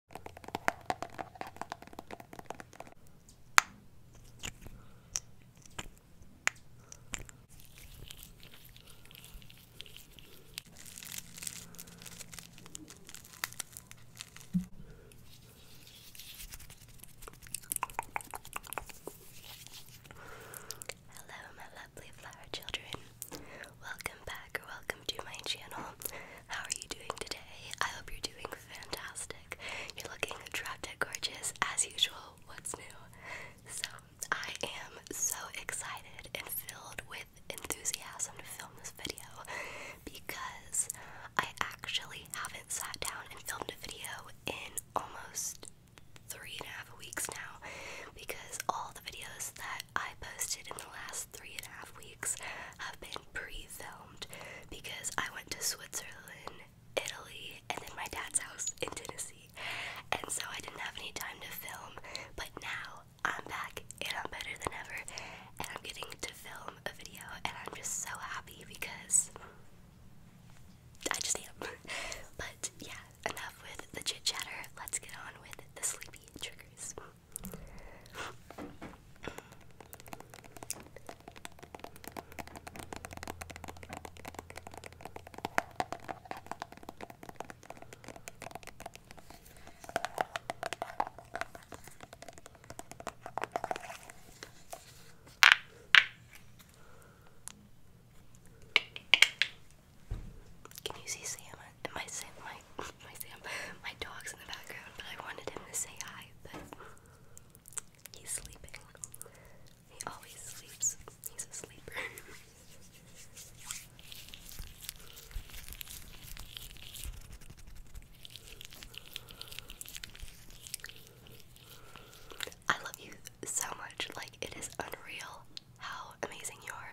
Hello, my lovely flower children. Welcome back Welcome to my channel. How are you doing today? I hope you're doing fantastic. You're looking drop-dead gorgeous as usual. What's new? So, I am so excited and filled with enthusiasm to film this video because I actually haven't sat down and filmed a video in almost three and a half weeks now because all the videos that I posted in the last three and a half weeks have been pre-filmed because I went to Switzerland, Italy, and then my dad's house in Tennessee. And so I didn't have any time to film, but now I'm back and I'm better than ever and I'm getting to film a video and I'm just so happy because I just am. but yeah, enough with the chit chat. Let's get on with the sleepy triggers. Can you see salmon? my Sam, my my Sam, my dog's in the background. But I wanted him to say hi, but he's sleeping. He always sleeps. He's a sleeper. I love you so much. Like, it is unreal how amazing you are.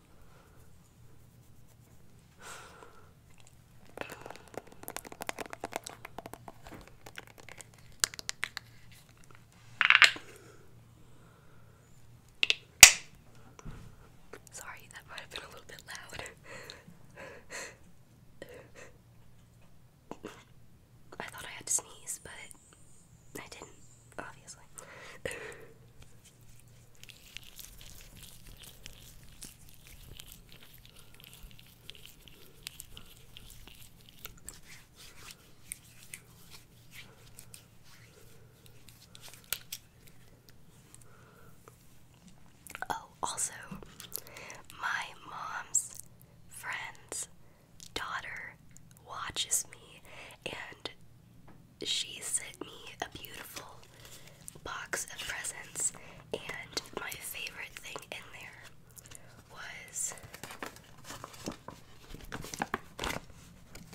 Sorry, that might have been a little bit loud. I thought I had to sneeze, but I didn't obviously. oh, also, my mom's friend's daughter watches me and she sent me a beautiful box of presents, and my favorite thing in there was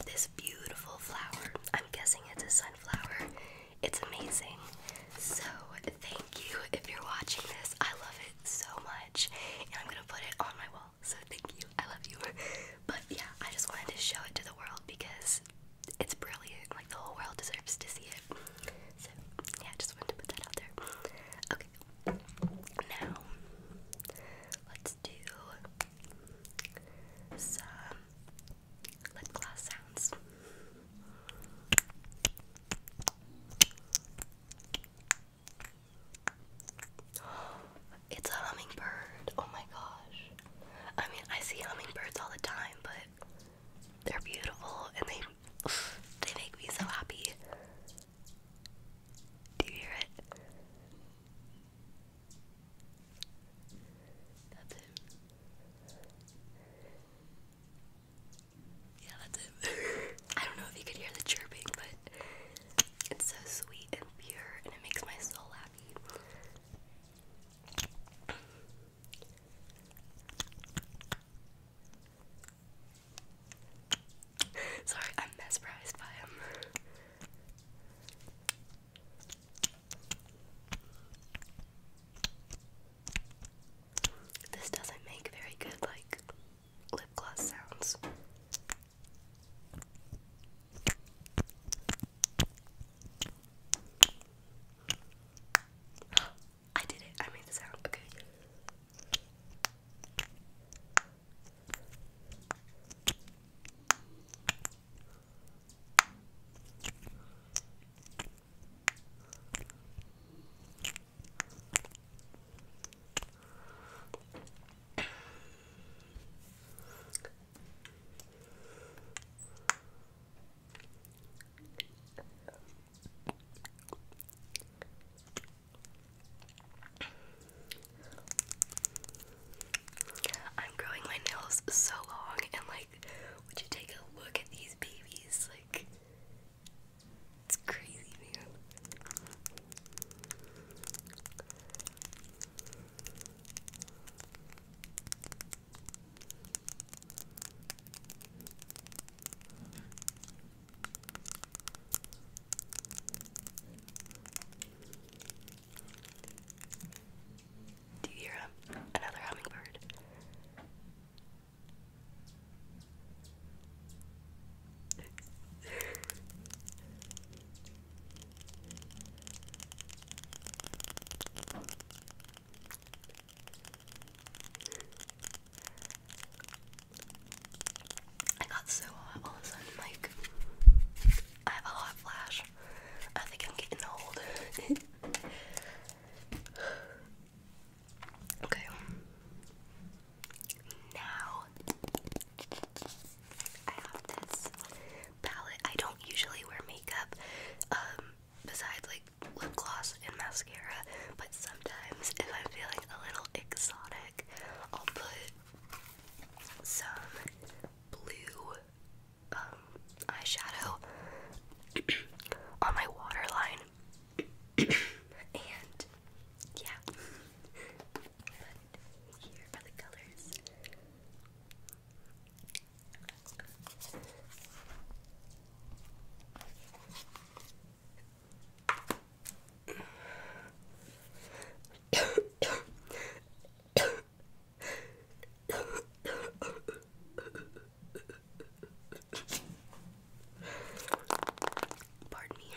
this beautiful flower. I'm guessing it's a sunflower. It's amazing. So, thank you if you're watching this. I love it so much, and I'm gonna put it on my wall. So, thank you. I love you. But yeah, I just wanted to show it to the world because it's brilliant. Like the whole world deserves to see it. So yeah, I just wanted to put that out there. Okay. Now let's do some lip gloss sounds. It's a hummingbird. Oh my gosh. I mean, I see hummingbirds all the time, but they're beautiful and they they make me so happy. Do you hear it? That's him. Yeah, that's him. I don't know if you could hear the chirping, but it's so sweet and pure and it makes my soul happy. Sorry, I'm mesmerized by him. This doesn't make very good, like, lip gloss sounds. I did it. I made the sound. Okay. I'm growing my nails so long, and like, would you take a look at these babies? Like, it's crazy, man. Do you hear another hummingbird? I got so hot all of a sudden, like, I have a hot flash. I think I'm getting old. okay. Now, I have this palette. I don't usually wear makeup, um, besides like lip gloss and mascara, but sometimes if I'm feeling a little exotic, I'll put some blue um, eyeshadow on my waterline. and yeah. Here are the colors. Pardon me.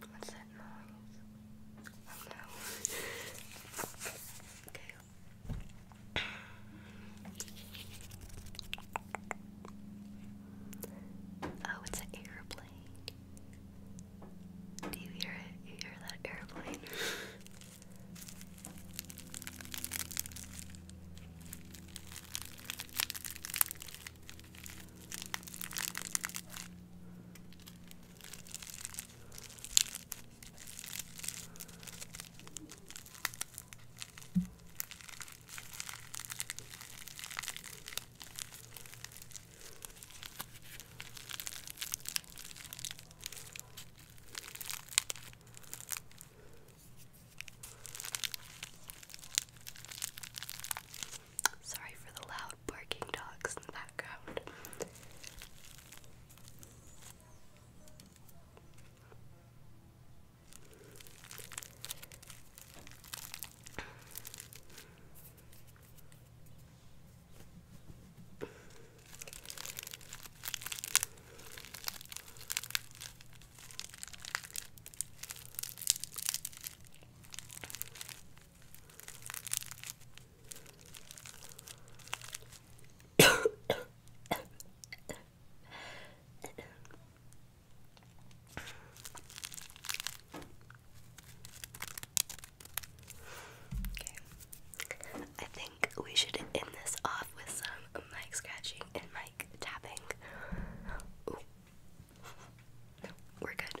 What's that noise? Oh it's an airplane. Do you hear it? You hear that airplane? Sorry for the loud barking dogs in the background okay. I think we should end this off with some mic scratching and mic tapping. We're good.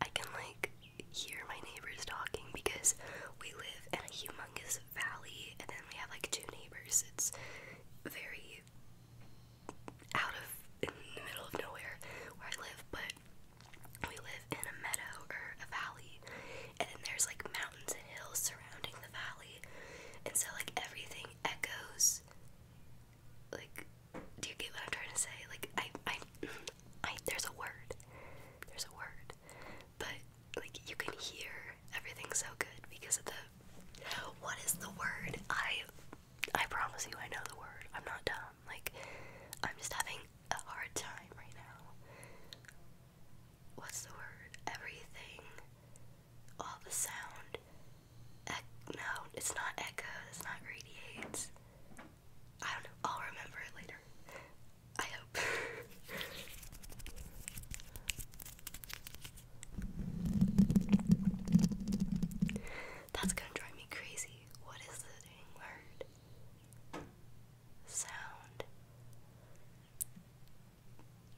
I can like hear my neighbors talking because we live in a humongous valley and then we have like two neighbors. It's very out of middle of nowhere where I live, but we live in a meadow or a valley, and then there's like mountains and hills surrounding the valley, and so like everything echoes. Like, do you get what I'm trying to say? Like, I, I, there's a word. There's a word. But like you can hear everything so good because of the what is the word? I I promise you I know the word. I'm not dumb. Like I'm just having a hard time right now. What's the word? Everything. All the sound. Ec no, it's not echo. It's not radiates. I don't know. I'll remember it later. I hope. That's gonna drive me crazy. What is the word? Sound.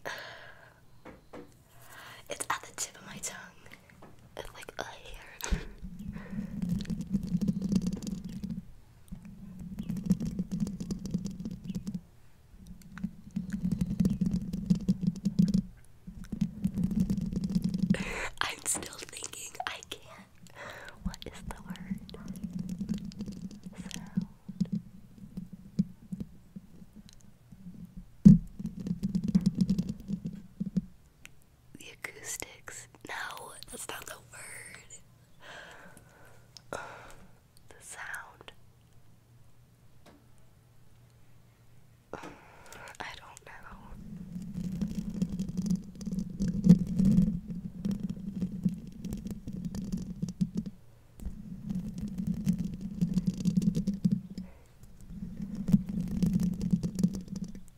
It's at the tip of my tongue. It's like a hair. I'm still thinking I can't. What is the word? The acoustics. No, that's not the word the sound. I don't know.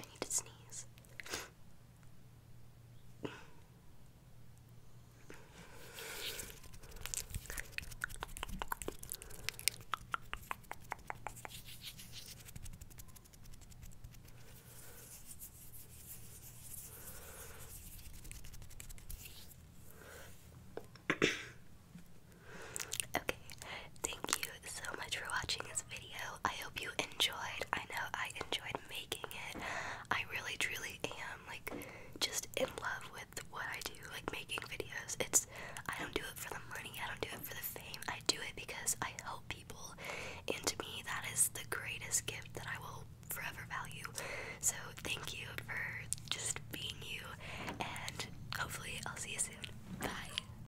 I need to sneeze. okay, thank you you so much for watching this video. I hope you enjoyed. I know I enjoyed making it. I really truly am like just in love with what I do, like making videos. It's I don't do it for the money, I don't do it for the fame. I do it because I help people and to me that is the greatest gift that I will forever value. So thank you for just being you and hopefully I'll see you soon. Bye.